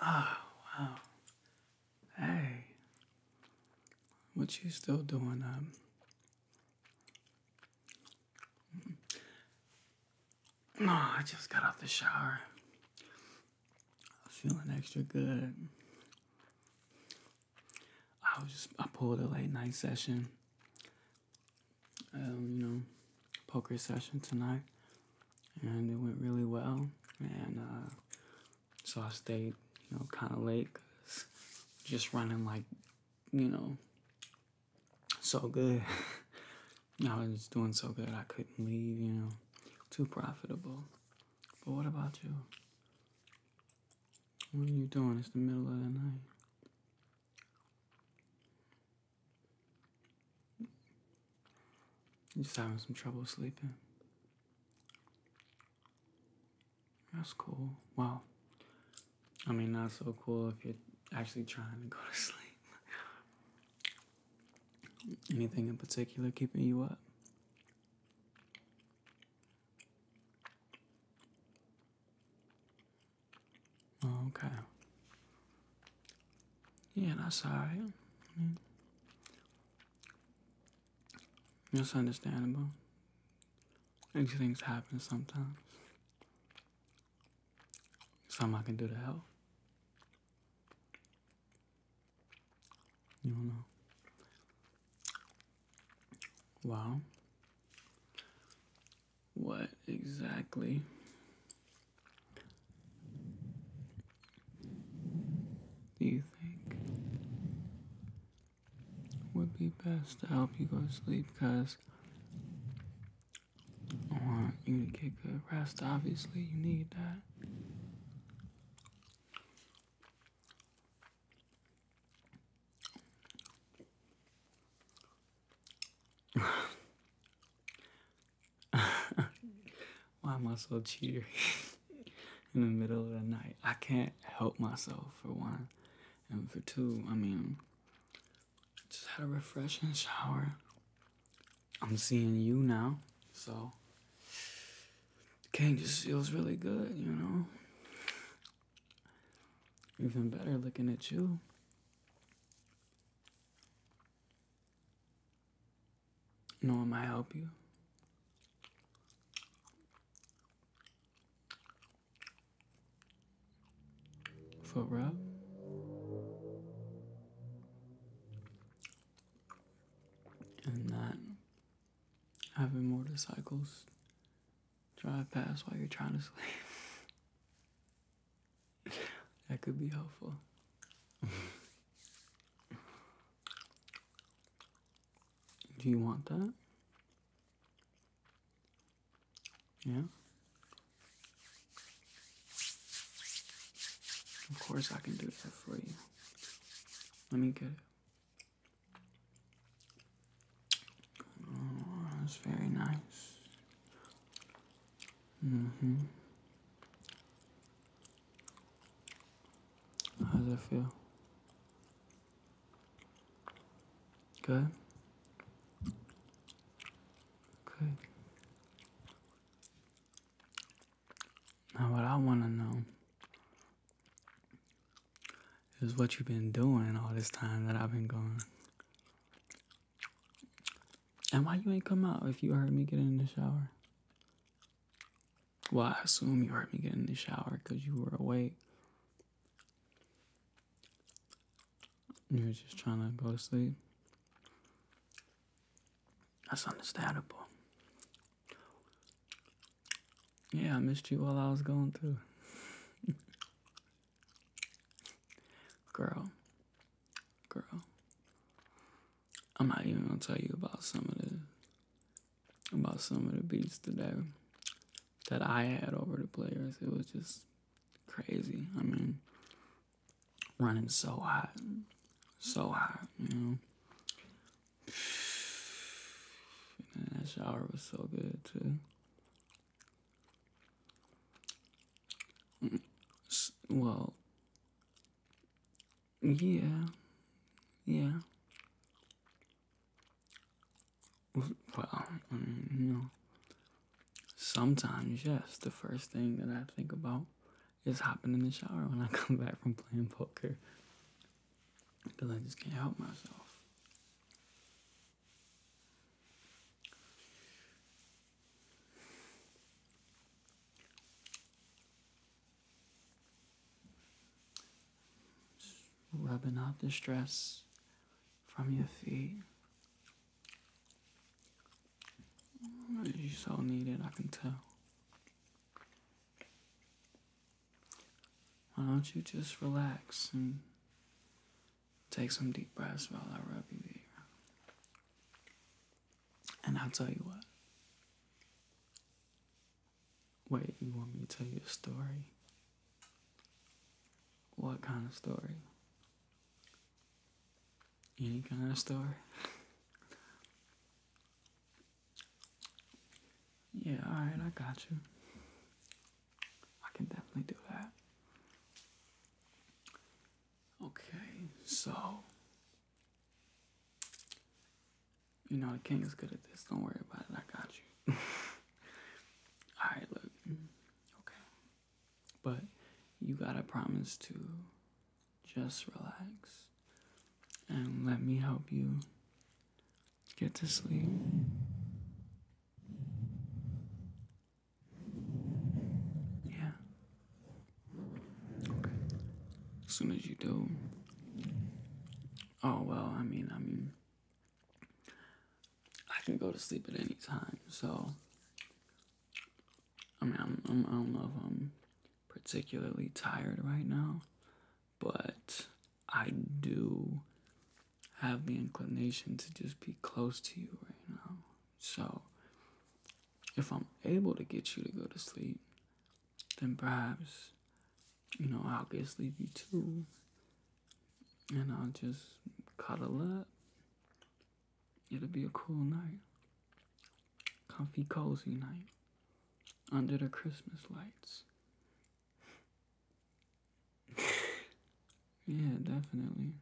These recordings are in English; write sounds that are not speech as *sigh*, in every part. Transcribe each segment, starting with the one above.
Oh, wow. Hey. What you still doing um No, mm. oh, I just got out the shower. I'm Feeling extra good. I was just I pulled a late night session um, you know, poker session tonight, and it went really well. And uh, so I stayed, you know, kind of late, just running like, you know, so good. *laughs* I was doing so good I couldn't leave, you know, too profitable. But what about you? What are you doing? It's the middle of the night. I'm just having some trouble sleeping. That's cool. Well, I mean, not so cool if you're actually trying to go to *laughs* sleep. Anything in particular keeping you up? Oh, okay. Yeah, I alright. Mm. Mm-hmm. It's understandable. These things happen sometimes. Something I can do to help. You don't know. Wow what exactly do you think would be best to help you go to sleep? Because I want you to get good rest. Obviously, you need that. *sighs* Why am I so cheery *laughs* in the middle of the night? I can't help myself for one, and for two, I mean, just had a refreshing shower. I'm seeing you now, so King just feels really good, you know. Even better looking at you. Norm, I help you. Foot rub. And not having motorcycles drive past while you're trying to *laughs* sleep. *laughs* that could be helpful. Do you want that? Yeah? Of course, I can do that for you. Let me get it. Oh, that's very nice. Mm-hmm. How does it feel? Good. Good. Now, what I want to know is what you've been doing all this time that I've been gone. And why you ain't come out if you heard me get in the shower? Well, I assume you heard me get in the shower because you were awake. You were just trying to go to sleep. That's understandable. Yeah, I missed you while I was going through. *laughs* Girl, girl, I'm not even gonna tell you about some of the about some of the beats today that I had over the players. It was just crazy. I mean, running so hot, so hot, you know. *sighs* that shower was so good too. Well, yeah, yeah. Well, you know, sometimes, yes, the first thing that I think about is hopping in the shower when I *laughs* come back from playing poker. Because I just can't help myself. Rubbing off the stress from your feet. You so need it, I can tell. Why don't you just relax and Take some deep breaths while I rub you here. And I'll tell you what. Wait, you want me to tell you a story? What kind of story? Any kind of story? *laughs* yeah, alright, I got you. I can definitely do that. Okay, so you know the king is good at this. Don't worry about it. I got you. *laughs* All right, look. Okay. But you got to promise to just relax and let me help you get to sleep. Yeah. As soon as you do. Oh well, I mean, I mean, I can go to sleep at any time, so. I mean, I'm, I'm, I don't I'm particularly tired right now, but I do have the inclination to just be close to you right now. So, if I'm able to get you to go to sleep, then perhaps, you know, I'll get sleepy too. And I'll just cuddle up. It'll be a cool night. Comfy, cozy night. Under the Christmas lights yeah, definitely.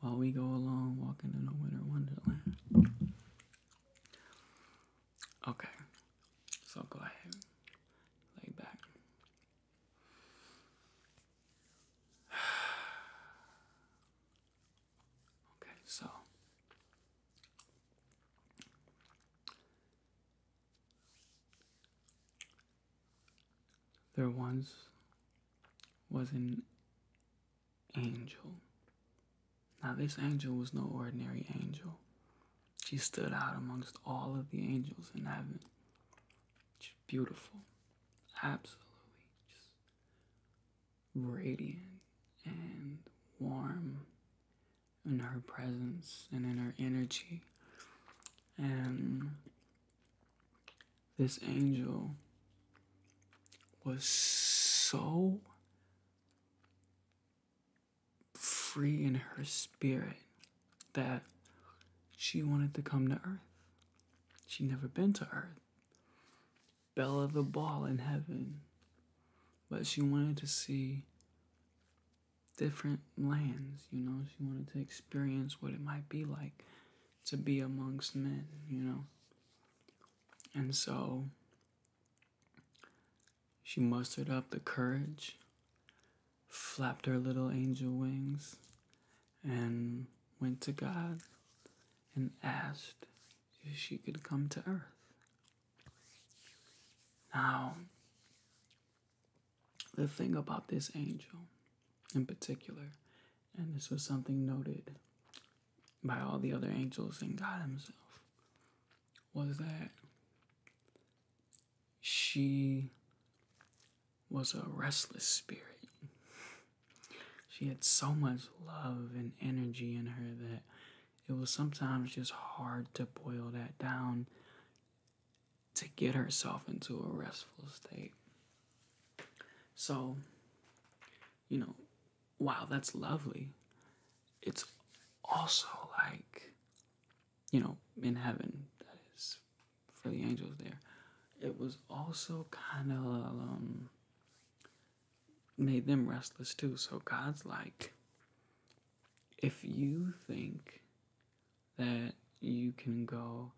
While we go along walking in a winter wonderland. Okay, so go ahead, lay back. *sighs* Okay, so there once was an angel. Now, this angel was no ordinary angel. She stood out amongst all of the angels in heaven. She's beautiful, absolutely just radiant and warm in her presence and in her energy. And this angel was so free in her spirit that she wanted to come to earth. She'd never been to earth. Bella the ball in heaven. But she wanted to see different lands, you know. She wanted to experience what it might be like to be amongst men, you know. And so she mustered up the courage, flapped her little angel wings, and went to God and asked if she could come to earth. Now, the thing about this angel in particular, and this was something noted by all the other angels and God Himself, was that she was a restless spirit. She had so much love and energy in her that it was sometimes just hard to boil that down to get herself into a restful state. So, you know, wow, that's lovely. It's also like, you know, in heaven, that is for the angels there. It was also kind of um, made them restless too. So God's like, if you think that you can go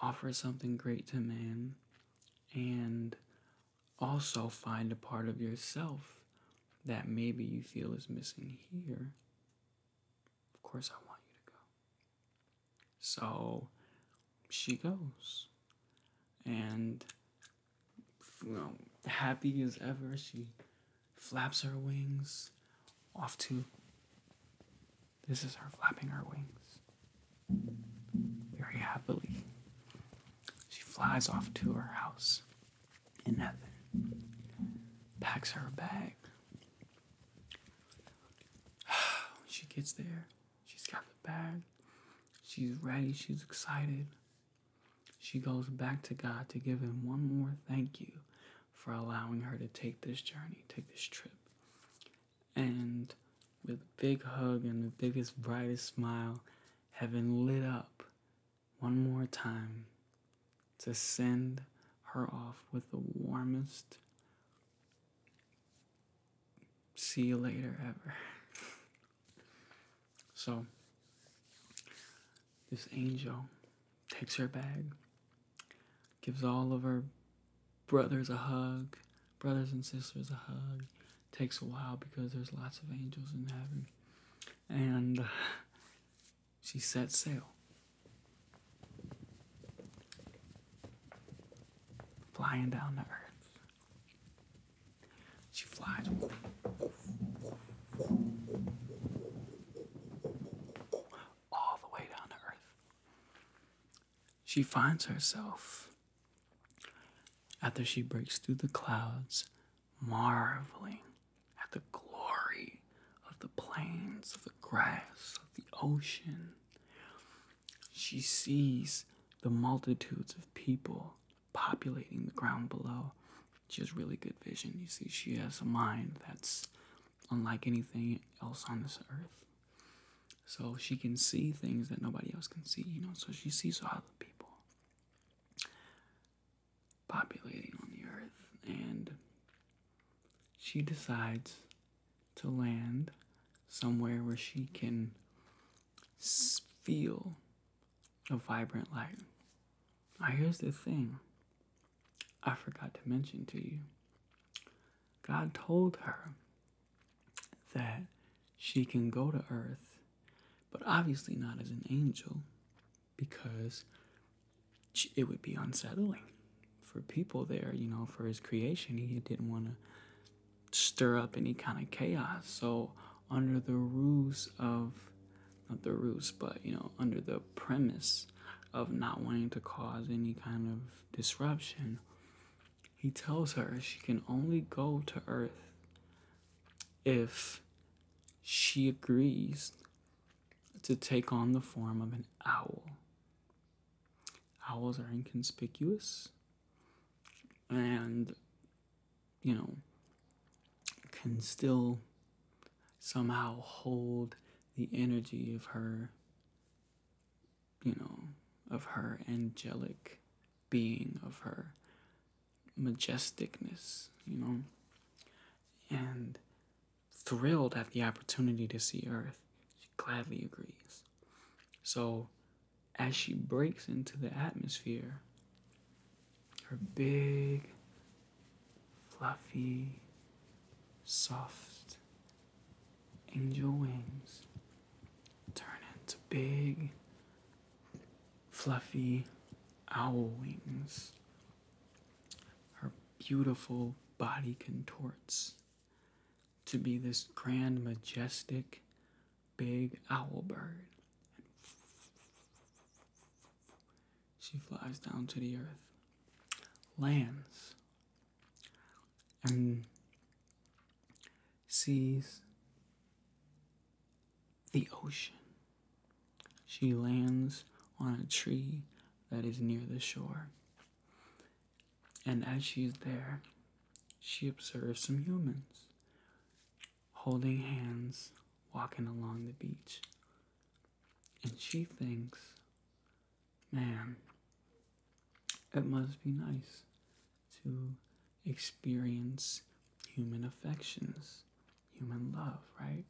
offer something great to men, and also find a part of yourself that maybe you feel is missing here. Of course, I want you to go. So she goes. And, you know, happy as ever, she flaps her wings off to. This is her flapping her wings very happily. She flies off to her house in heaven, packs her bag. *sighs* she gets there, she's got the bag, she's ready, she's excited. She goes back to God to give him one more thank you for allowing her to take this journey, take this trip. And with a big hug and the biggest, brightest smile, heaven lit up one more time to send her off with the warmest see you later ever. *laughs* so, this angel takes her bag, gives all of her brothers a hug, brothers and sisters a hug. Takes a while because there's lots of angels in heaven. And *sighs* she sets sail. Flying down to earth. She flies all the way down to earth. She finds herself, after she breaks through the clouds, marveling at the glory of the plains, of the grass, of the ocean. She sees the multitudes of people populating the ground below. She has really good vision. You see, she has a mind that's unlike anything else on this earth. So she can see things that nobody else can see, you know. So she sees all the people populating on the earth, and she decides to land somewhere where she can feel a vibrant light. Now, here's the thing I forgot to mention to you God told her that she can go to earth, but obviously not as an angel because it would be unsettling for people there, you know, for his creation. He didn't want to stir up any kind of chaos. So, under the ruse of, not the ruse, but, you know, under the premise of not wanting to cause any kind of disruption, he tells her she can only go to Earth if she agrees to take on the form of an owl. Owls are inconspicuous and, you know, can still somehow hold the energy of her, you know, of her angelic being, of her majesticness, you know, and thrilled at the opportunity to see Earth, she gladly agrees. So, as she breaks into the atmosphere, her big fluffy, soft angel wings turn into big, fluffy owl wings. Her beautiful body contorts to be this grand, majestic, big owl bird she flies down to the earth, lands, and sees the ocean. She lands on a tree that is near the shore. And as she's there, she observes some humans holding hands walking along the beach. And she thinks, man, it must be nice to experience human affections, human love, right?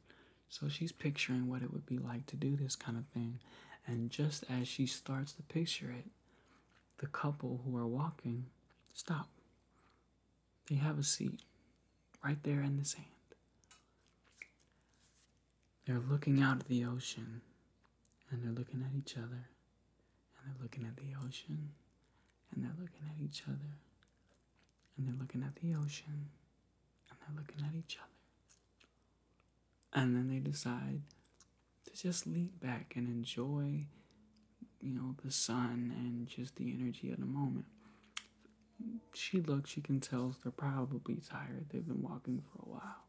So she's picturing what it would be like to do this kind of thing. And just as she starts to picture it, the couple who are walking stop. They have a seat right there in the sand. They're looking out at the ocean and they're looking at each other and they're looking at the ocean and they're looking at each other and they're looking at the ocean and they're looking at each other. And then they decide to just lean back and enjoy, you know, the sun and just the energy of the moment she looks, she can tell they're probably tired. They've been walking for a while.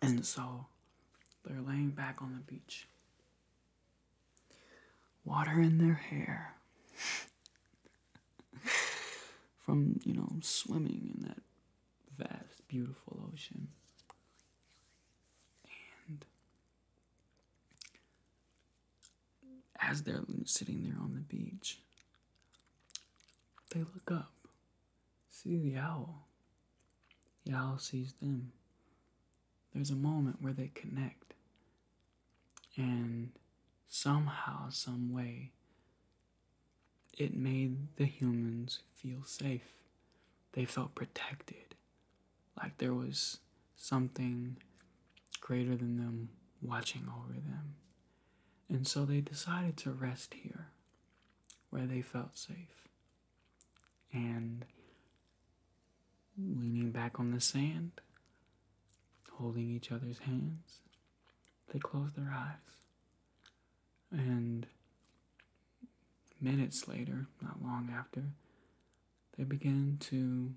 And so they're laying back on the beach. Water in their hair *laughs* from, you know, swimming in that vast, beautiful ocean as they're sitting there on the beach, they look up, see the owl. The owl sees them. There's a moment where they connect, and somehow, some way, it made the humans feel safe. They felt protected, like there was something greater than them watching over them. And so they decided to rest here where they felt safe. And leaning back on the sand, holding each other's hands, they closed their eyes. And minutes later, not long after, they began to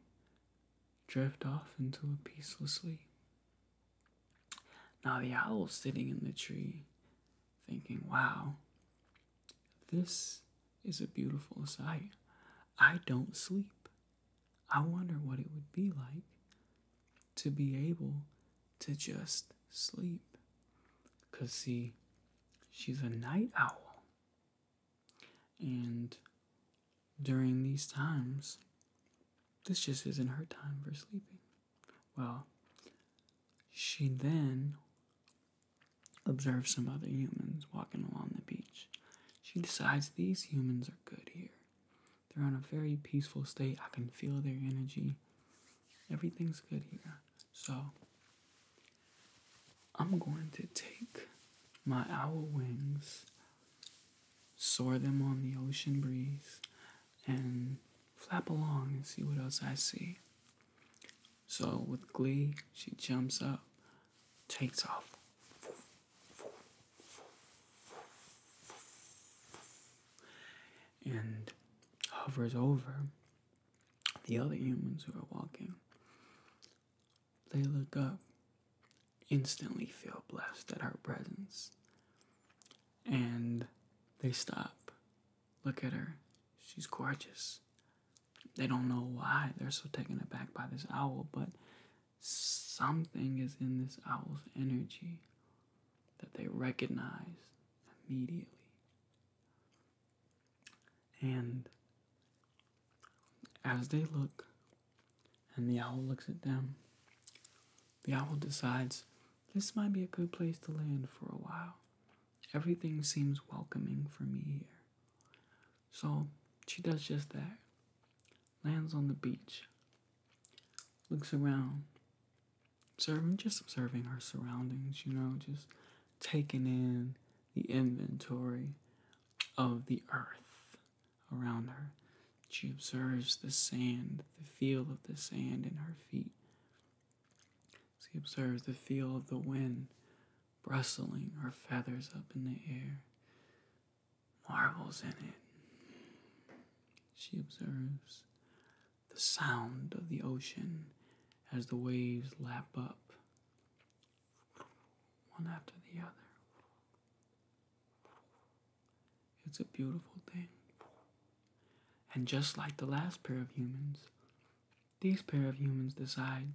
drift off into a peaceful sleep. Now the owl sitting in the tree thinking, wow, this is a beautiful sight. I don't sleep. I wonder what it would be like to be able to just sleep. Because, see, she's a night owl. And during these times, this just isn't her time for sleeping. Well, she then observes some other humans walking along the beach. She decides these humans are good here. They're in a very peaceful state. I can feel their energy. Everything's good here. So, I'm going to take my owl wings soar them on the ocean breeze, and flap along and see what else I see. So, with glee, she jumps up, takes off. And hovers over the other humans who are walking. They look up instantly feel blessed at her presence. And they stop, look at her. She's gorgeous. They don't know why they're so taken aback by this owl, but something is in this owl's energy that they recognize immediately. And as they look, and the owl looks at them. The owl decides this might be a good place to land for a while. Everything seems welcoming for me here. So she does just that lands on the beach, looks around, observing, just observing her surroundings, you know, just taking in the inventory of the earth around her. She observes the sand, the feel of the sand in her feet. She observes the feel of the wind bristling her feathers up in the air, Marbles in it. She observes the sound of the ocean as the waves lap up, one after the other. It's a beautiful thing. And just like the last pair of humans, these pair of humans decide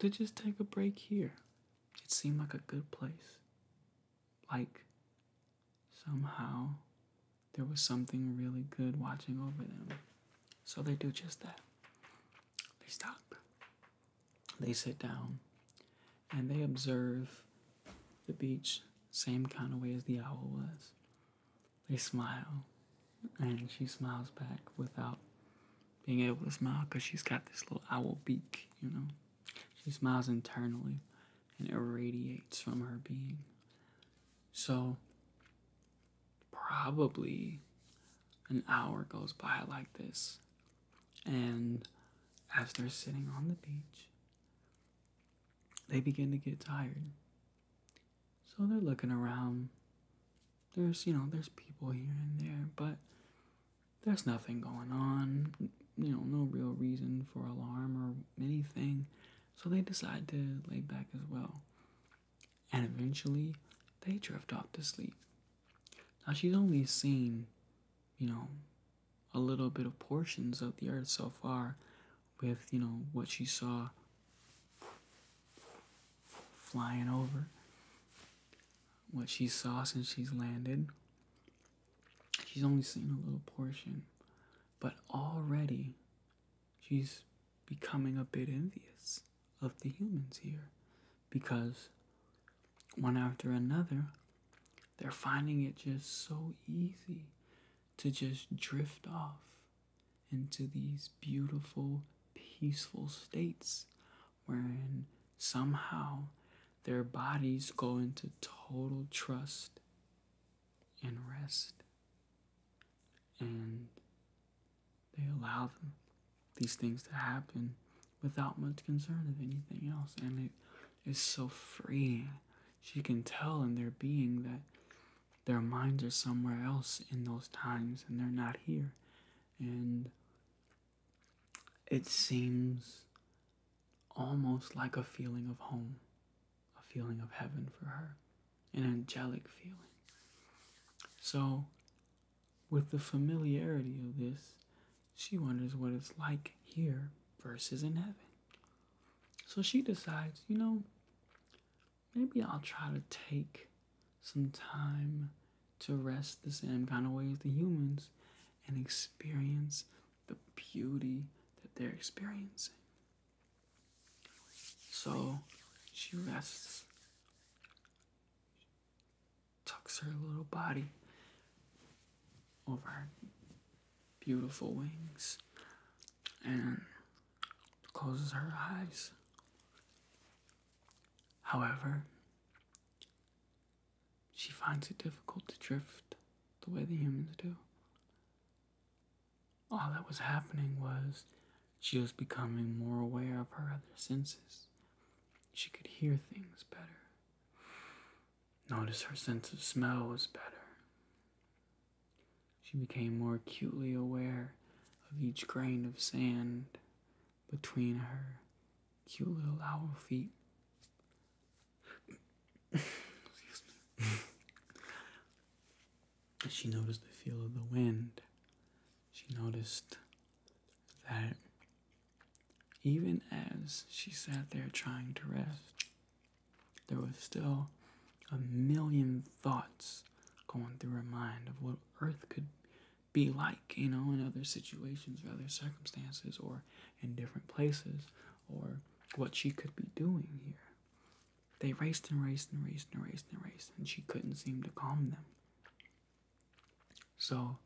to just take a break here. It seemed like a good place. Like somehow there was something really good watching over them. So they do just that. They stop. They sit down and they observe the beach same kind of way as the owl was. They smile and she smiles back without being able to smile because she's got this little owl beak, you know. She smiles internally and it radiates from her being. So, probably an hour goes by like this and as they're sitting on the beach, they begin to get tired. So they're looking around. There's, you know, there's people here and there, but there's nothing going on. You know, no real reason for alarm or anything. So they decide to lay back as well. And eventually, they drift off to sleep. Now she's only seen, you know, a little bit of portions of the earth so far with, you know, what she saw flying over, what she saw since she's landed. She's only seen a little portion, but already she's becoming a bit envious of the humans here because one after another, they're finding it just so easy to just drift off into these beautiful, peaceful states wherein somehow their bodies go into total trust and rest. And they allow these things to happen without much concern of anything else. And it is so free. She can tell in their being that their minds are somewhere else in those times and they're not here. And it seems almost like a feeling of home, a feeling of heaven for her, an angelic feeling. So, with the familiarity of this, she wonders what it's like here versus in heaven. So she decides, you know, maybe I'll try to take some time to rest the same kind of way as the humans and experience the beauty that they're experiencing. So she rests tucks her little body over her beautiful wings and closes her eyes. However, she finds it difficult to drift the way the humans do. All that was happening was she was becoming more aware of her other senses. She could hear things better. Notice her sense of smell was better. She became more acutely aware of each grain of sand between her cute little owl feet. she noticed the feel of the wind. She noticed that even as she sat there trying to rest, there was still a million thoughts going through her mind of what Earth could be like, you know, in other situations or other circumstances or in different places or what she could be doing here. They raced and raced and raced and raced and raced, and she couldn't seem to calm them. So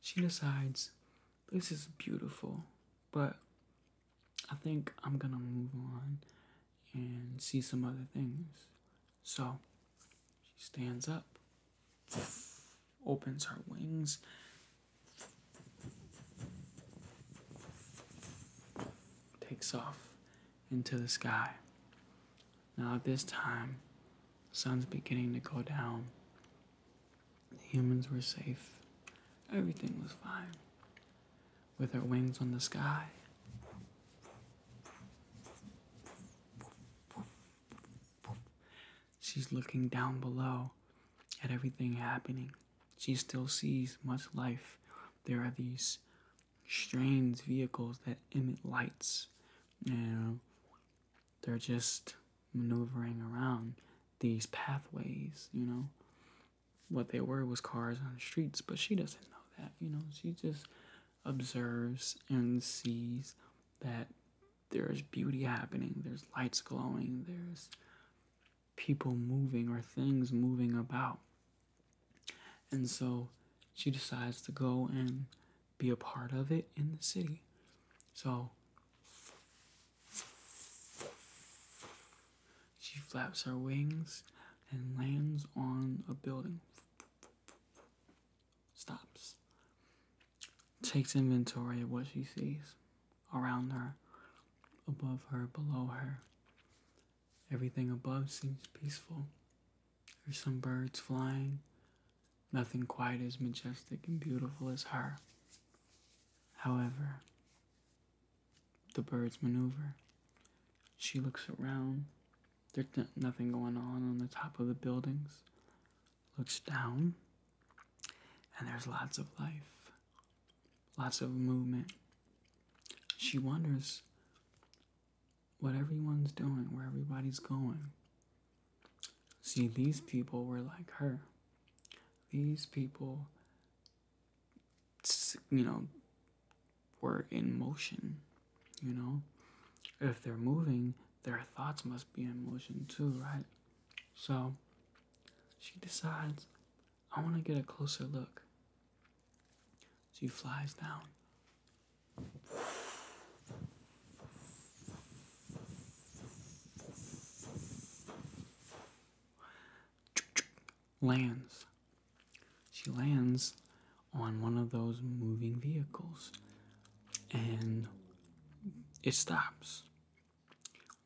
she decides this is beautiful, but I think I'm gonna move on and see some other things. So she stands up, opens her wings. Takes off into the sky. Now, at this time, the sun's beginning to go down, humans were safe. Everything was fine. With her wings on the sky. She's looking down below at everything happening. She still sees much life. There are these strange vehicles that emit lights. You they're just maneuvering around these pathways, you know. What they were was cars on the streets, but she doesn't know that, you know. She just observes and sees that there's beauty happening, there's lights glowing, there's people moving or things moving about. And so she decides to go and be a part of it in the city. So she flaps her wings and lands on a building. Stops. Takes inventory of what she sees around her, above her, below her. Everything above seems peaceful. There's some birds flying, Nothing quite as majestic and beautiful as her. However, the birds maneuver. She looks around. There's nothing going on on the top of the buildings. Looks down, and there's lots of life, lots of movement. She wonders what everyone's doing, where everybody's going. See, these people were like her. These people, you know, were in motion, you know? If they're moving, their thoughts must be in motion too, right? So she decides, I want to get a closer look. She flies down lands. She lands on one of those moving vehicles and it stops.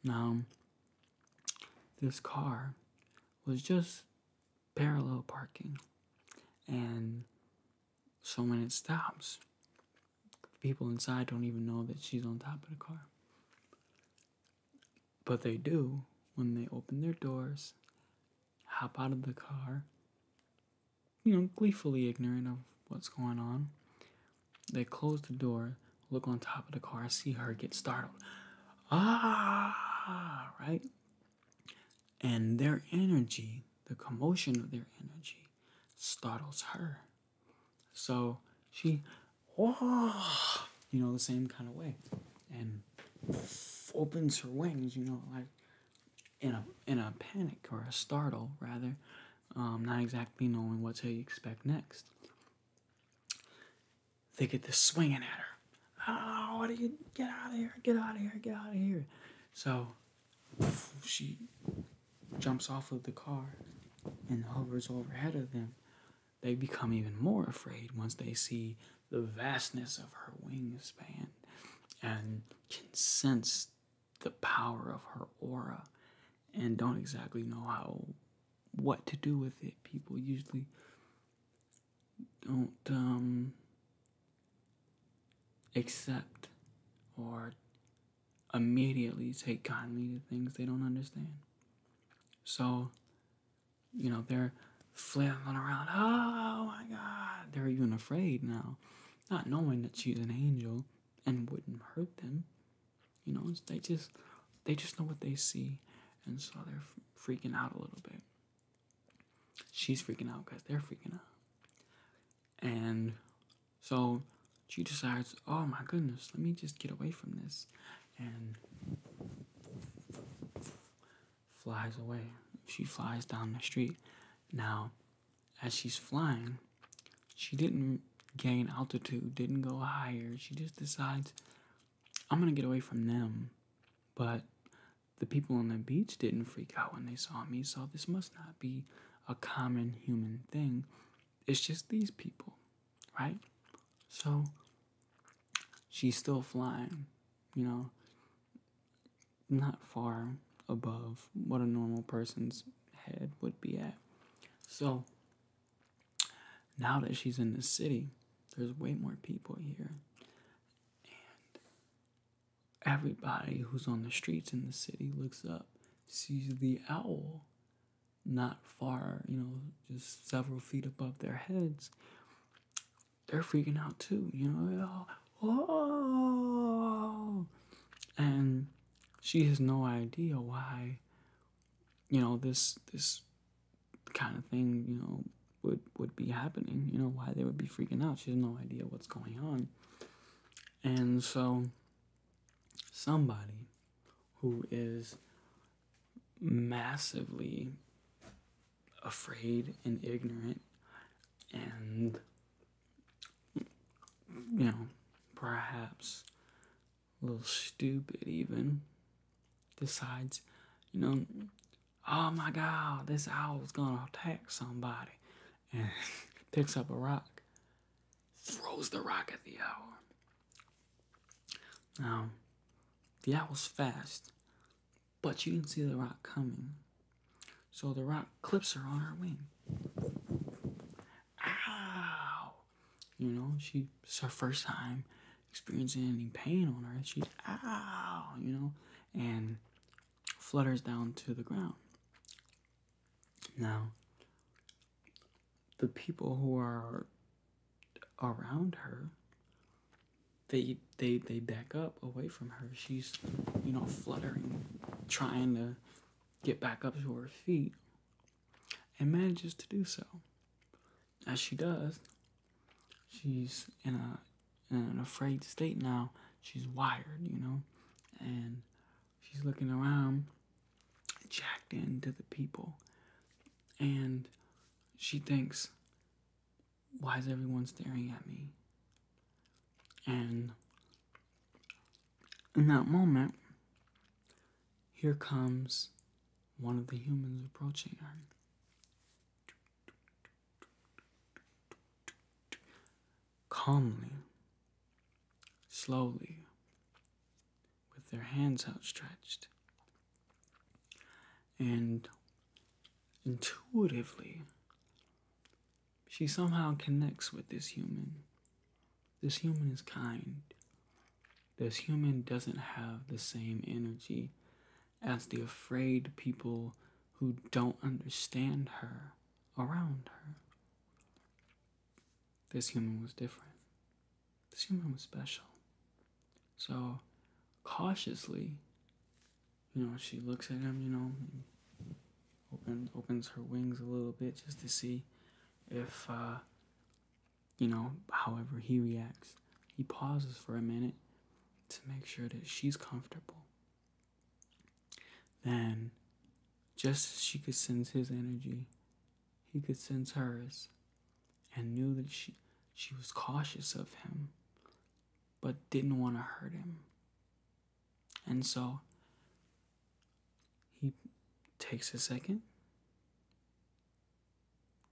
Now, this car was just parallel parking and so when it stops, people inside don't even know that she's on top of the car. But they do when they open their doors, hop out of the car, you know, gleefully ignorant of what's going on. They close the door, look on top of the car, see her get startled. Ah, right? And their energy, the commotion of their energy, startles her. So she, you know, the same kind of way, and opens her wings, you know, like in a in a panic or a startle rather, um, not exactly knowing what to expect next. They get this swinging at her. Oh, what do you get out of here? Get out of here! Get out of here! So she jumps off of the car and hovers overhead of them. They become even more afraid once they see the vastness of her wingspan and can sense the power of her aura and don't exactly know how what to do with it. People usually don't um, accept or immediately take kindly to things they don't understand. So, you know, they're flailing around. Oh my God. They're even afraid now, not knowing that she's an angel and wouldn't hurt them. You know, they just they just know what they see, and so they're freaking out a little bit. She's freaking out because they're freaking out. And so she decides, oh my goodness, let me just get away from this. And flies away. She flies down the street. Now, as she's flying, she didn't gain altitude, didn't go higher. She just decides, I'm gonna get away from them. But the people on the beach didn't freak out when they saw me, so this must not be a common human thing. It's just these people, right? So she's still flying, you know, not far above what a normal person's head would be at. So now that she's in the city, there's way more people here. And everybody who's on the streets in the city looks up sees the owl not far, you know, just several feet above their heads, they're freaking out too, you know. Oh, and she has no idea why, you know, this this kind of thing, you know, would would be happening. You know, why they would be freaking out. She has no idea what's going on, and so somebody who is massively afraid and ignorant and you know perhaps a little stupid even decides you know oh my god this owl's gonna attack somebody and *laughs* picks up a rock, throws the rock at the owl. Now, the owl's fast, but you can see the rock coming. So the rock clips her on her wing. Ow! You know, she's her first time experiencing any pain on her. She's ow, you know, and flutters down to the ground. Now, the people who are around her, they they they back up away from her. She's, you know, fluttering, trying to get back up to her feet, and manages to do so. As she does, she's in a in an afraid state now. She's wired, you know, and she's looking around, jacked into the people, and she thinks, Why is everyone staring at me? And in that moment, here comes one of the humans approaching her calmly, slowly, with their hands outstretched, and intuitively, she somehow connects with this human. This human is kind. This human doesn't have the same energy as the afraid people who don't understand her around her this human was different. This human was special. So cautiously, you know, she looks at him, you know, opens opens her wings a little bit just to see if, uh, you know, however he reacts. He pauses for a minute to make sure that she's comfortable. Then, just as she could sense his energy, he could sense hers and knew that she, she was cautious of him but didn't want to hurt him. And so he takes a second,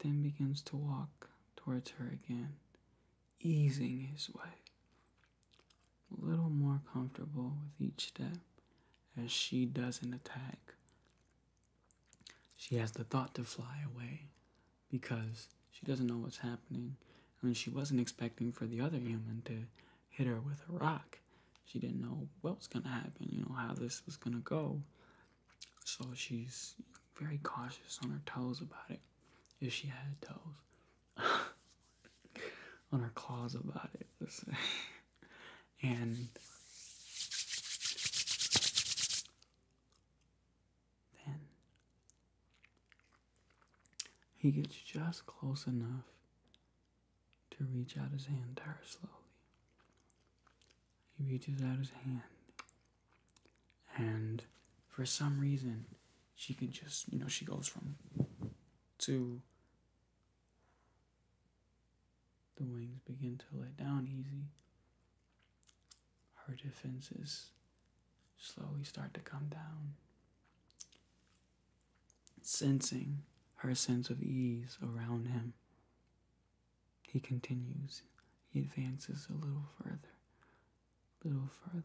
then begins to walk towards her again, easing his way. A little more comfortable with each step as she doesn't attack. She has the thought to fly away because she doesn't know what's happening. I mean, she wasn't expecting for the other human to hit her with a rock. She didn't know what was going to happen, you know, how this was going to go. So she's very cautious on her toes about it, if she had toes. *laughs* on her claws about it. and then he gets just close enough to reach out his hand to slowly. He reaches out his hand. And for some reason, she can just, you know, she goes from to the wings begin to let down easy. Her defenses slowly start to come down. Sensing her sense of ease around him, he continues. He advances a little further, little further,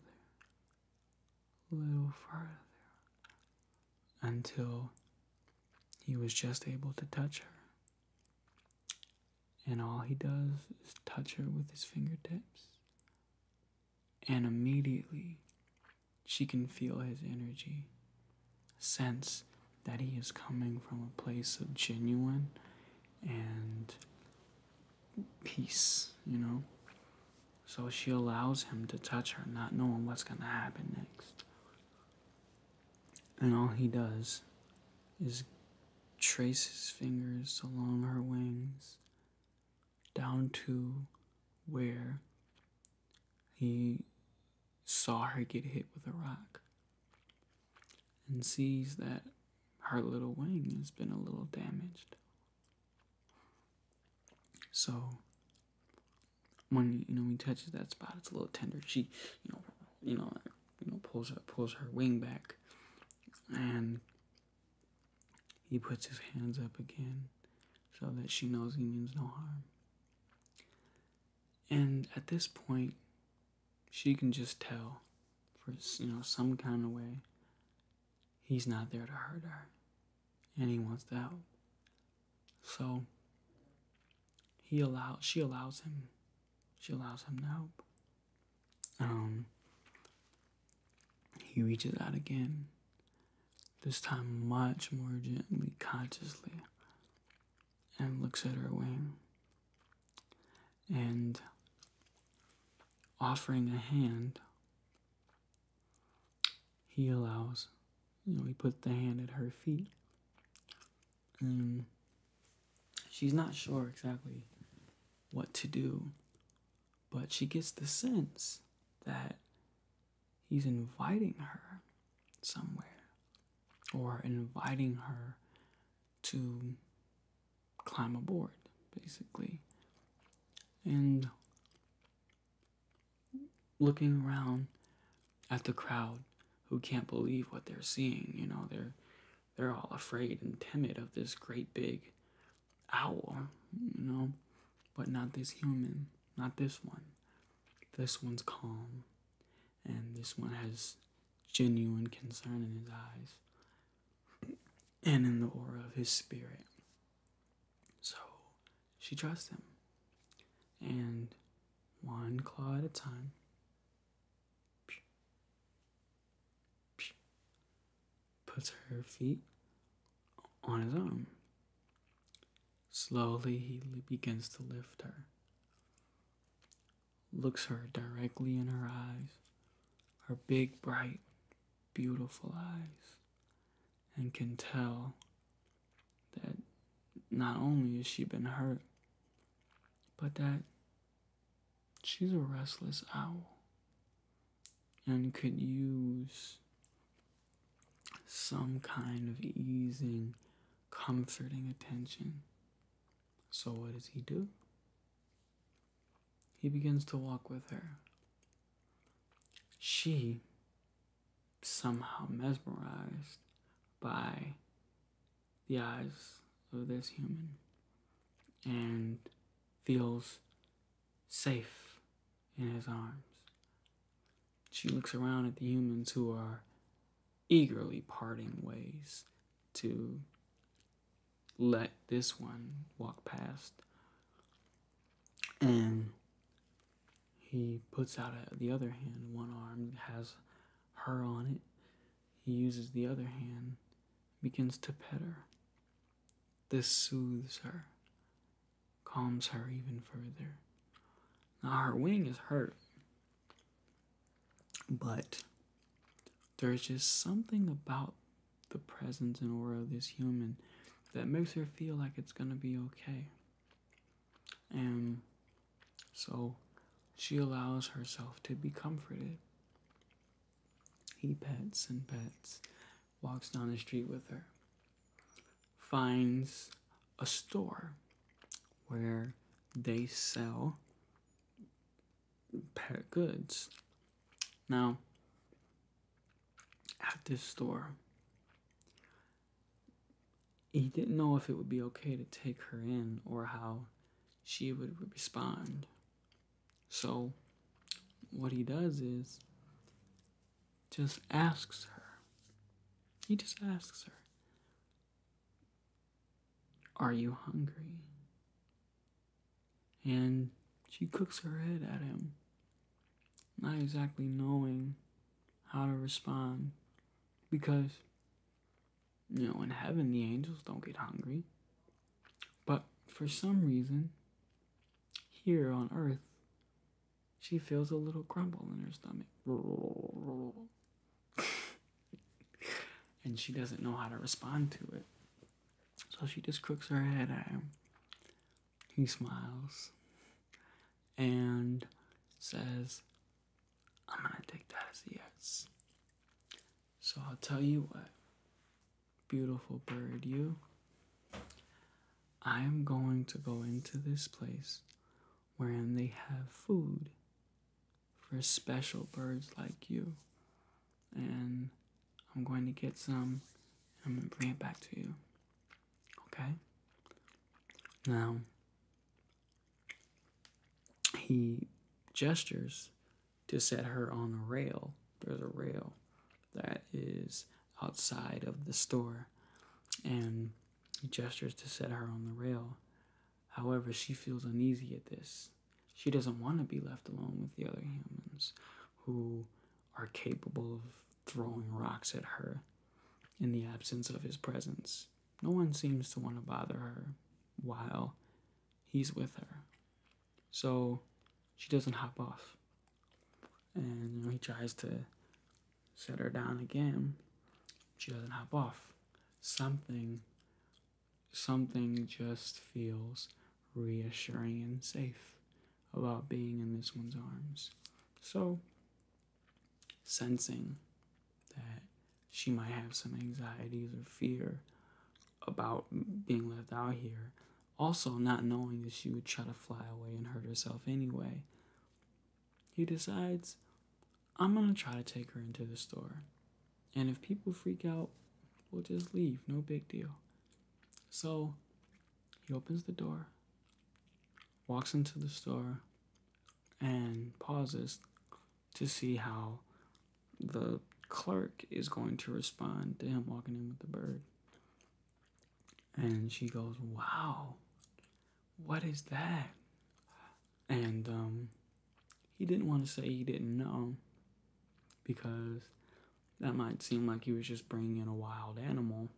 a little further until he was just able to touch her. And all he does is touch her with his fingertips. And immediately she can feel his energy, sense that he is coming from a place of genuine and peace, you know? So she allows him to touch her, not knowing what's going to happen next. And all he does is trace his fingers along her wings down to where he saw her get hit with a rock and sees that her little wing has been a little damaged. So when you know he touches that spot, it's a little tender. She, you know, you know, you know, pulls her pulls her wing back, and he puts his hands up again, so that she knows he means no harm. And at this point, she can just tell, for you know, some kind of way, he's not there to hurt her and he wants to help. So he allows she allows him she allows him to help. Um he reaches out again, this time much more gently, consciously, and looks at her wing. And offering a hand, he allows. You know, he puts the hand at her feet. And she's not sure exactly what to do, but she gets the sense that he's inviting her somewhere or inviting her to climb aboard, basically. And looking around at the crowd who can't believe what they're seeing. You know, they're they're all afraid and timid of this great big owl, you know, but not this human, not this one. This one's calm, and this one has genuine concern in his eyes and in the aura of his spirit. So she trusts him. And one claw at a time. Puts her feet on his arm. Slowly, he begins to lift her. Looks her directly in her eyes, her big, bright, beautiful eyes and can tell that not only has she been hurt, but that she's a restless owl and could use some kind of easing, comforting attention. So, what does he do? He begins to walk with her. She somehow mesmerized by the eyes of this human and feels safe in his arms. She looks around at the humans who are eagerly parting ways to let this one walk past and he puts out the other hand. One arm has her on it. He uses the other hand, begins to pet her. This soothes her, calms her even further. Now, her wing is hurt, but there's just something about the presence and aura of this human that makes her feel like it's gonna be okay. And so she allows herself to be comforted. He pets and pets, walks down the street with her, finds a store where they sell pet goods. Now, at this store, he didn't know if it would be okay to take her in or how she would respond. So, what he does is just asks her. He just asks her, Are you hungry? And she cooks her head at him not exactly knowing how to respond because you know in heaven the angels don't get hungry but for some reason here on earth she feels a little crumble in her stomach *laughs* and she doesn't know how to respond to it so she just crooks her head at him he smiles and says, I'm going to take that as a yes. So I'll tell you what, beautiful bird, you. I am going to go into this place wherein they have food for special birds like you. And I'm going to get some I'm going to bring it back to you. Okay? Now, he gestures to set her on the rail. There's a rail that is outside of the store, and he gestures to set her on the rail. However, she feels uneasy at this. She doesn't want to be left alone with the other humans who are capable of throwing rocks at her in the absence of his presence. No one seems to want to bother her while he's with her. So she doesn't hop off. And he tries to set her down again. She doesn't hop off. Something something just feels reassuring and safe about being in this one's arms. So, sensing that she might have some anxieties or fear about being left out here, also not knowing that she would try to fly away and hurt herself anyway, he decides, I'm gonna try to take her into the store. And if people freak out, we'll just leave, no big deal. So, he opens the door, walks into the store and pauses to see how the clerk is going to respond to him walking in with the bird. And she goes, Wow, what is that? And um, he didn't want to say he didn't know because that might seem like he was just bringing in a wild animal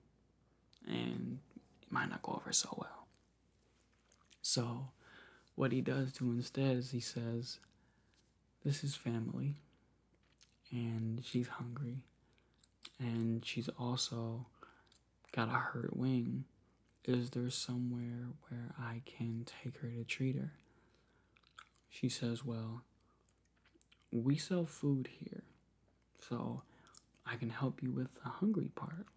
and it might not go over so well. So, what he does do instead is he says, This is family, and she's hungry, and she's also got a hurt wing. Is there somewhere where I can take her to treat her? She says, Well, we sell food here, so I can help you with the hungry part.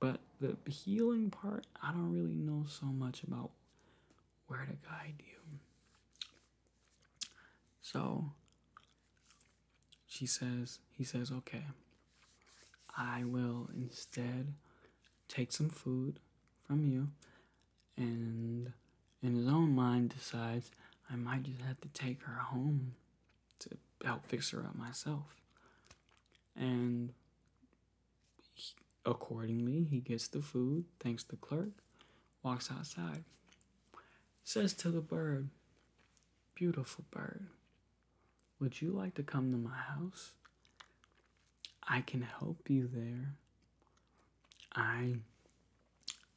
But the healing part, I don't really know so much about where to guide you. So she says, he says, okay, I will instead take some food from you and in his own mind decides I might just have to take her home to help fix her up myself. And accordingly, he gets the food, thanks the clerk, walks outside, says to the bird, Beautiful bird, would you like to come to my house? I can help you there. I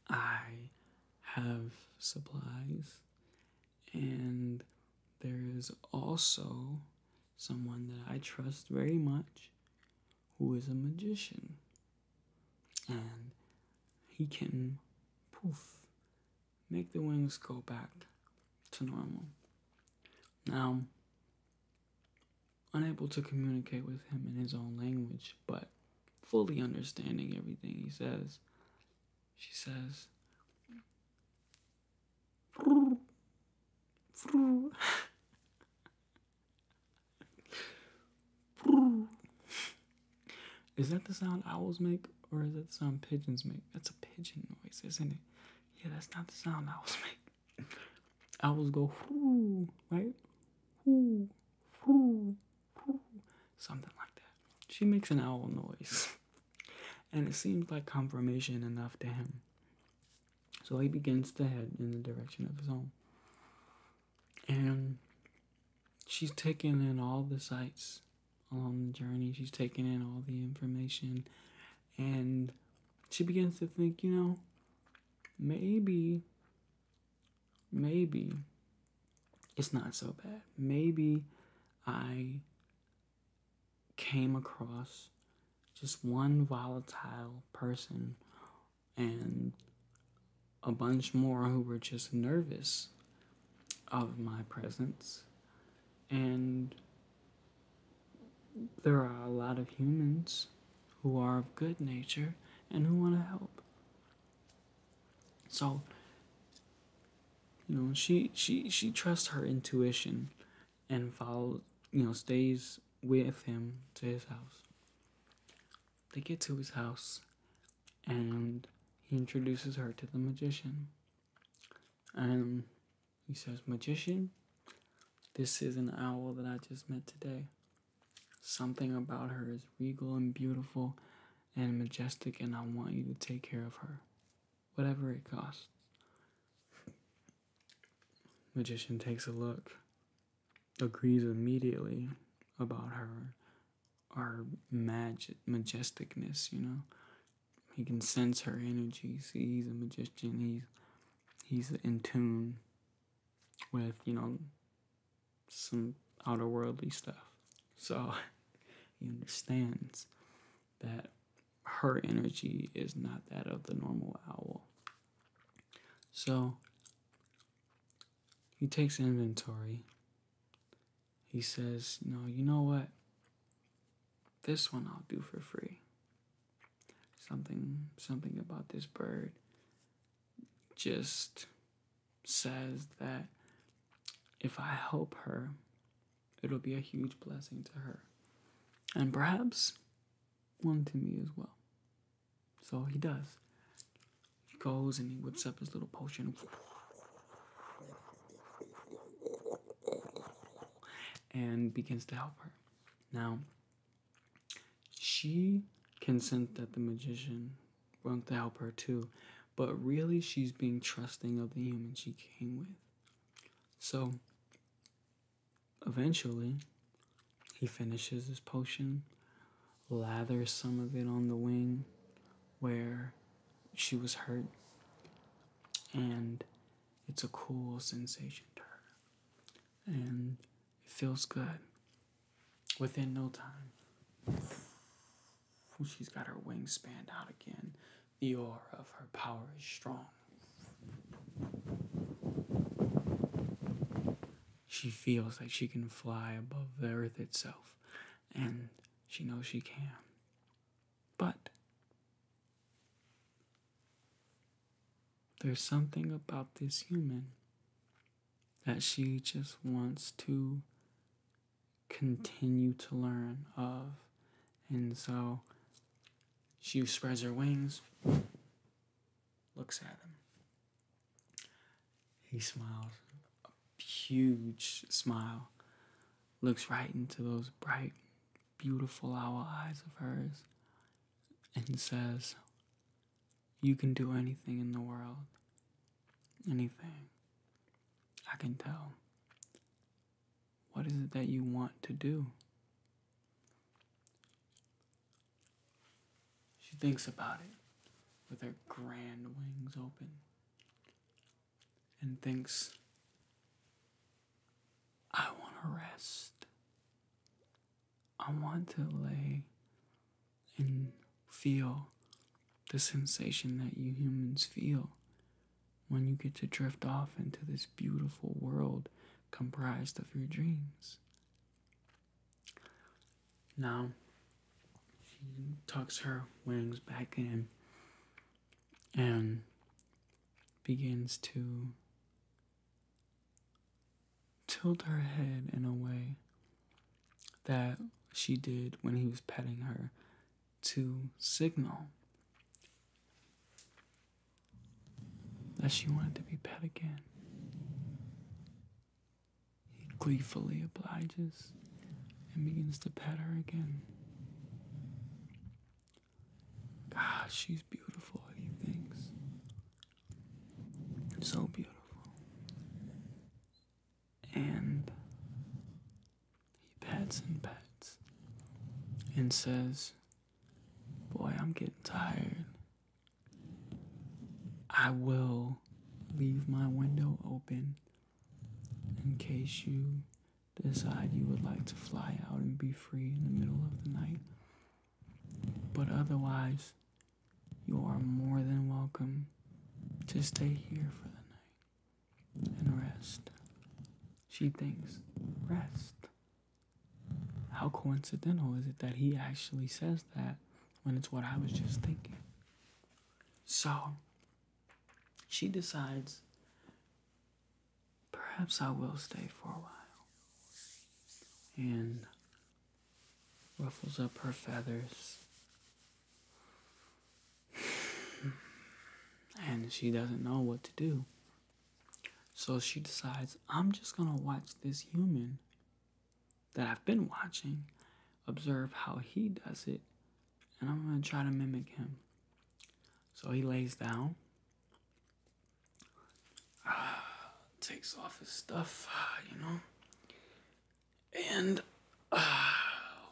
I have supplies, and there is also someone that I trust very much who is a magician, and he can poof make the wings go back to normal. Now, unable to communicate with him in his own language, but fully understanding everything he says. She says, Is that the sound owls make or is that the sound pigeons make? That's a pigeon noise, isn't it? Yeah, that's not the sound owls make. Owls go, right? something like that. She makes an owl noise, *laughs* and it seems like confirmation enough to him. So he begins to head in the direction of his home. And she's taking in all the sights along the journey, she's taking in all the information, and she begins to think, you know, maybe maybe it's not so bad. Maybe I came across just one volatile person and a bunch more who were just nervous of my presence. And there are a lot of humans who are of good nature and who want to help. So you know, she she she trusts her intuition and follows, you know, stays with him to his house. They get to his house and he introduces her to the magician. And he says, Magician, this is an owl that I just met today. Something about her is regal and beautiful, and majestic, and I want you to take care of her, whatever it costs. Magician takes a look, agrees immediately about her, our magic majesticness, you know. He can sense her energy. See, he's a magician. He's he's in tune with you know some outerworldly stuff. So *laughs* he understands that her energy is not that of the normal owl. So he takes inventory. He says, No, you know what? This one I'll do for free. Something something about this bird just says that if I help her, it'll be a huge blessing to her. And perhaps one to me as well. So he does. He goes and he whips up his little potion. And begins to help her. Now, she can sense that the magician want to help her too. But really, she's being trusting of the human she came with. So, eventually, he finishes his potion, lathers some of it on the wing where she was hurt, and it's a cool sensation to her. And it feels good. Within no time, she's got her wings spanned out again. The aura of her power is strong. She feels that she can fly above the earth itself, and she knows she can. But there's something about this human that she just wants to continue to learn of. And so she spreads her wings, looks at him. He smiles, a huge smile, looks right into those bright, beautiful owl eyes of hers, and says, you can do anything in the world. Anything. I can tell. What is it that you want to do? She thinks about it with her grand wings open and thinks, I want to rest. I want to lay and feel the sensation that you humans feel when you get to drift off into this beautiful world comprised of your dreams. Now, she tucks her wings back in and begins to tilt her head in a way that she did when he was petting her to signal that she wanted to be pet again. He gleefully obliges and begins to pet her again. Ah, she's beautiful, he thinks. So beautiful. And he pets and pets, and says, Boy, I'm getting tired. I will leave my window open in case you decide you would like to fly out and be free in the middle of the night. But otherwise, you are more than welcome to stay here for the night and rest. She thinks, rest. How coincidental is it that he actually says that when it's what I was just thinking? So, she decides, perhaps I will stay for a while. And ruffles up her feathers. *sighs* and she doesn't know what to do. So she decides, I'm just gonna watch this human that I've been watching, observe how he does it, and I'm gonna try to mimic him. So he lays down, *sighs* takes off his stuff, you know, and uh,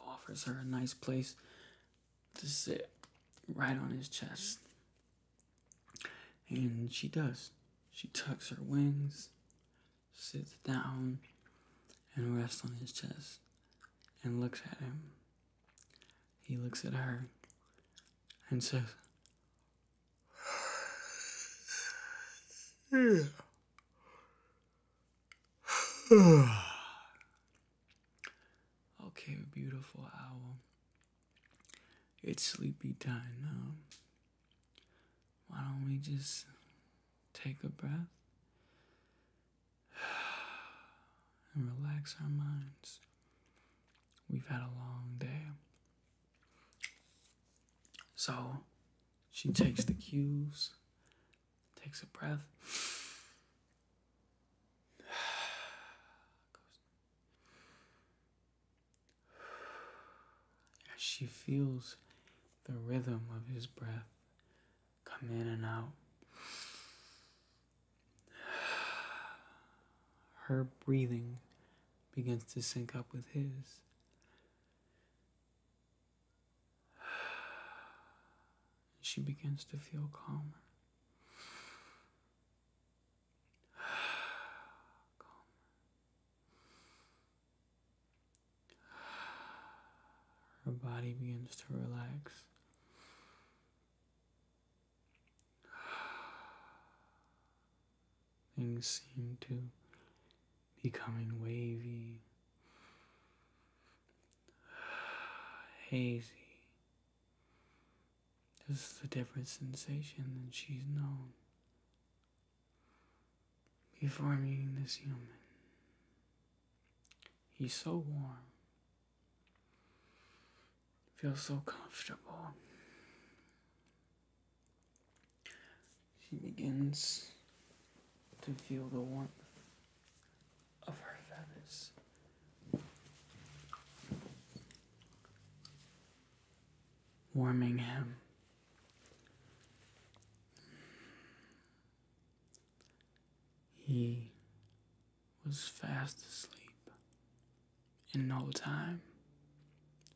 offers her a nice place to sit right on his chest. And she does. She tucks her wings, sits down, and rests on his chest and looks at him. He looks at her and says, *sighs* yeah. *sighs* okay, beautiful owl. It's sleepy time now. Why don't we just take a breath *sighs* and relax our minds? We've had a long day. So, she takes the cues, takes a breath. *sighs* she feels the rhythm of his breath come in and out, *sighs* her breathing begins to sync up with his. She begins to feel calmer. calmer. Her body begins to relax. Things seem to becoming wavy, *sighs* hazy. This is a different sensation than she's known before meeting this human. He's so warm, feels so comfortable. She begins to feel the warmth of her feathers. Warming him. He was fast asleep in no time,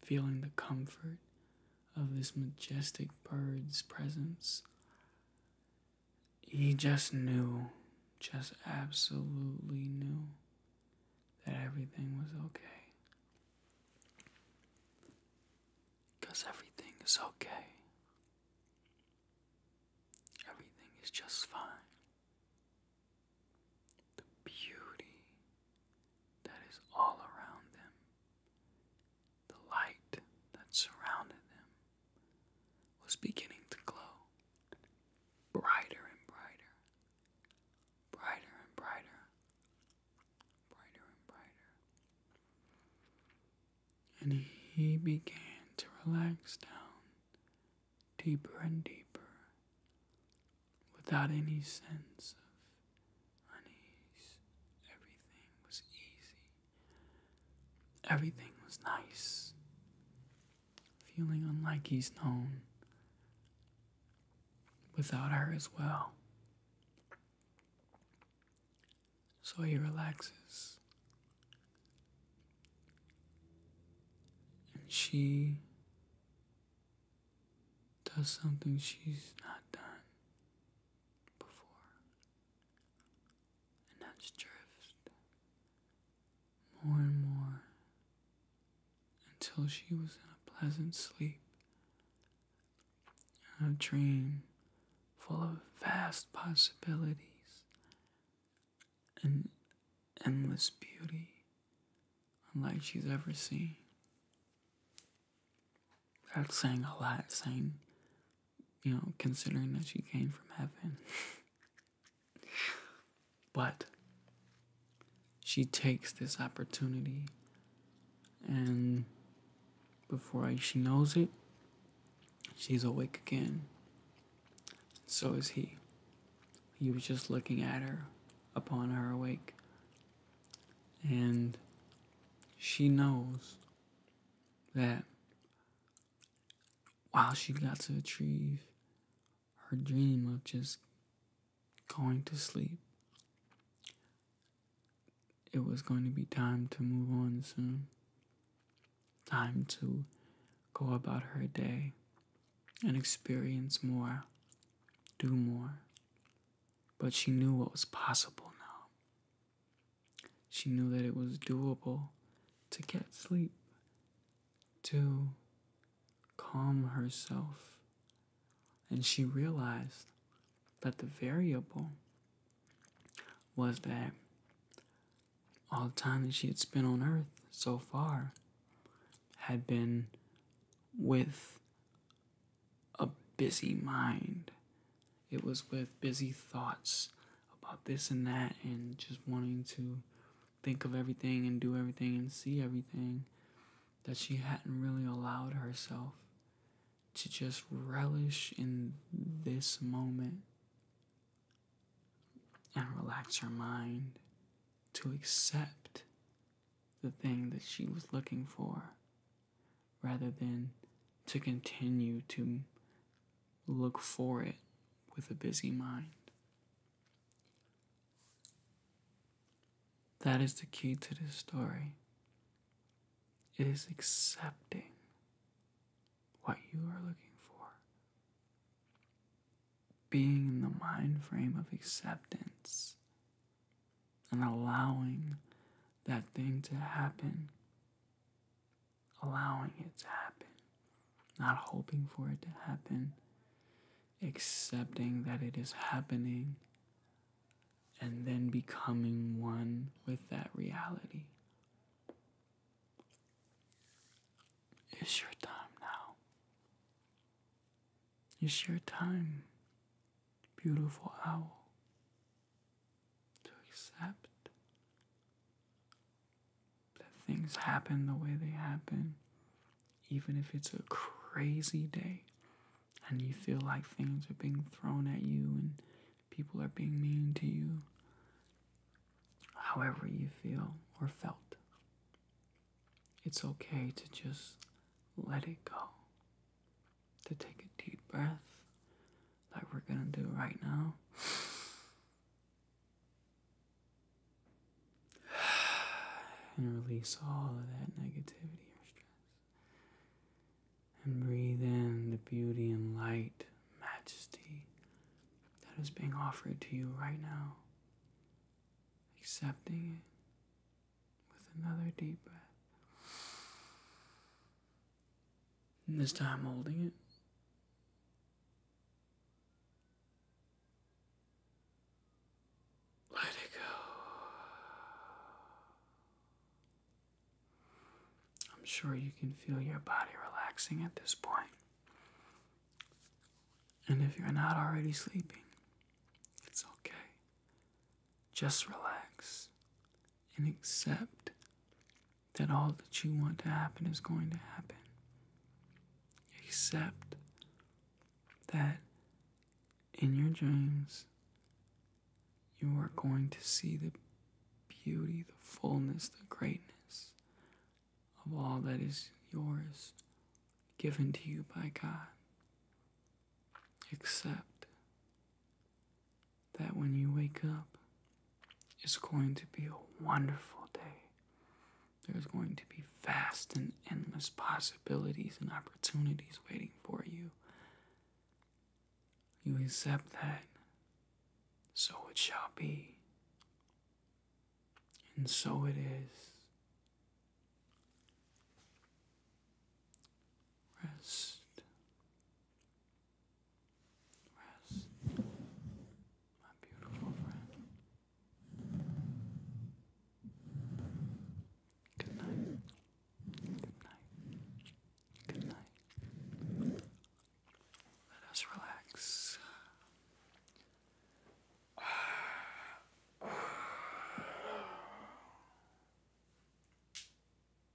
feeling the comfort of this majestic bird's presence. He just knew, just absolutely knew that everything was okay. Because everything is okay. Everything is just fine. The beauty that is all around them the light that surrounded him was beginning to glow brighter and brighter, brighter and brighter, brighter and brighter. And he began to relax down deeper and deeper without any sense of honeys. Everything was easy. Everything was nice. Feeling unlike he's known. Without her as well. So he relaxes. And she does something she's not done before, and that's drift more and more until she was in a pleasant sleep, a dream full of vast possibilities and endless beauty unlike she's ever seen. That's saying a lot, saying, you know, considering that she came from heaven. but she takes this opportunity, and before she knows it, she's awake again. So is he. He was just looking at her upon her awake. And she knows that while she got to achieve her dream of just going to sleep, it was going to be time to move on soon. Time to go about her day and experience more, do more. But she knew what was possible now. She knew that it was doable to get sleep, to calm herself, and she realized that the variable was that all the time that she had spent on earth so far had been with a busy mind. It was with busy thoughts about this and that, and just wanting to think of everything and do everything and see everything that she hadn't really allowed herself to just relish in this moment and relax her mind to accept the thing that she was looking for rather than to continue to look for it with a busy mind. That is the key to this story. It is accepting what you are looking for. Being in the mind frame of acceptance and allowing that thing to happen. Allowing it to happen. Not hoping for it to happen. Accepting that it is happening. And then becoming one with that reality. It's your time now. It's your time, beautiful owl to accept that things happen the way they happen, even if it's a crazy day and you feel like things are being thrown at you and people are being mean to you, however you feel or felt. It's okay to just let it go to take a deep breath, like we're gonna do right now. *sighs* And release all of that negativity or stress. And breathe in the beauty and light, majesty that is being offered to you right now. Accepting it with another deep breath. And this time holding it. Let it go. I'm sure you can feel your body relaxing at this point. And if you're not already sleeping, it's okay. Just relax and accept that all that you want to happen is going to happen. Accept that in your dreams you are going to see the beauty, the fullness, the greatness of all that is yours, given to you by God. Except that when you wake up, it's going to be a wonderful day. There's going to be vast and endless possibilities and opportunities waiting for you. You accept that, so it shall be. And so it is. Rest. Rest. My beautiful friend. Good night. Good night. Good night. Let us relax. *sighs*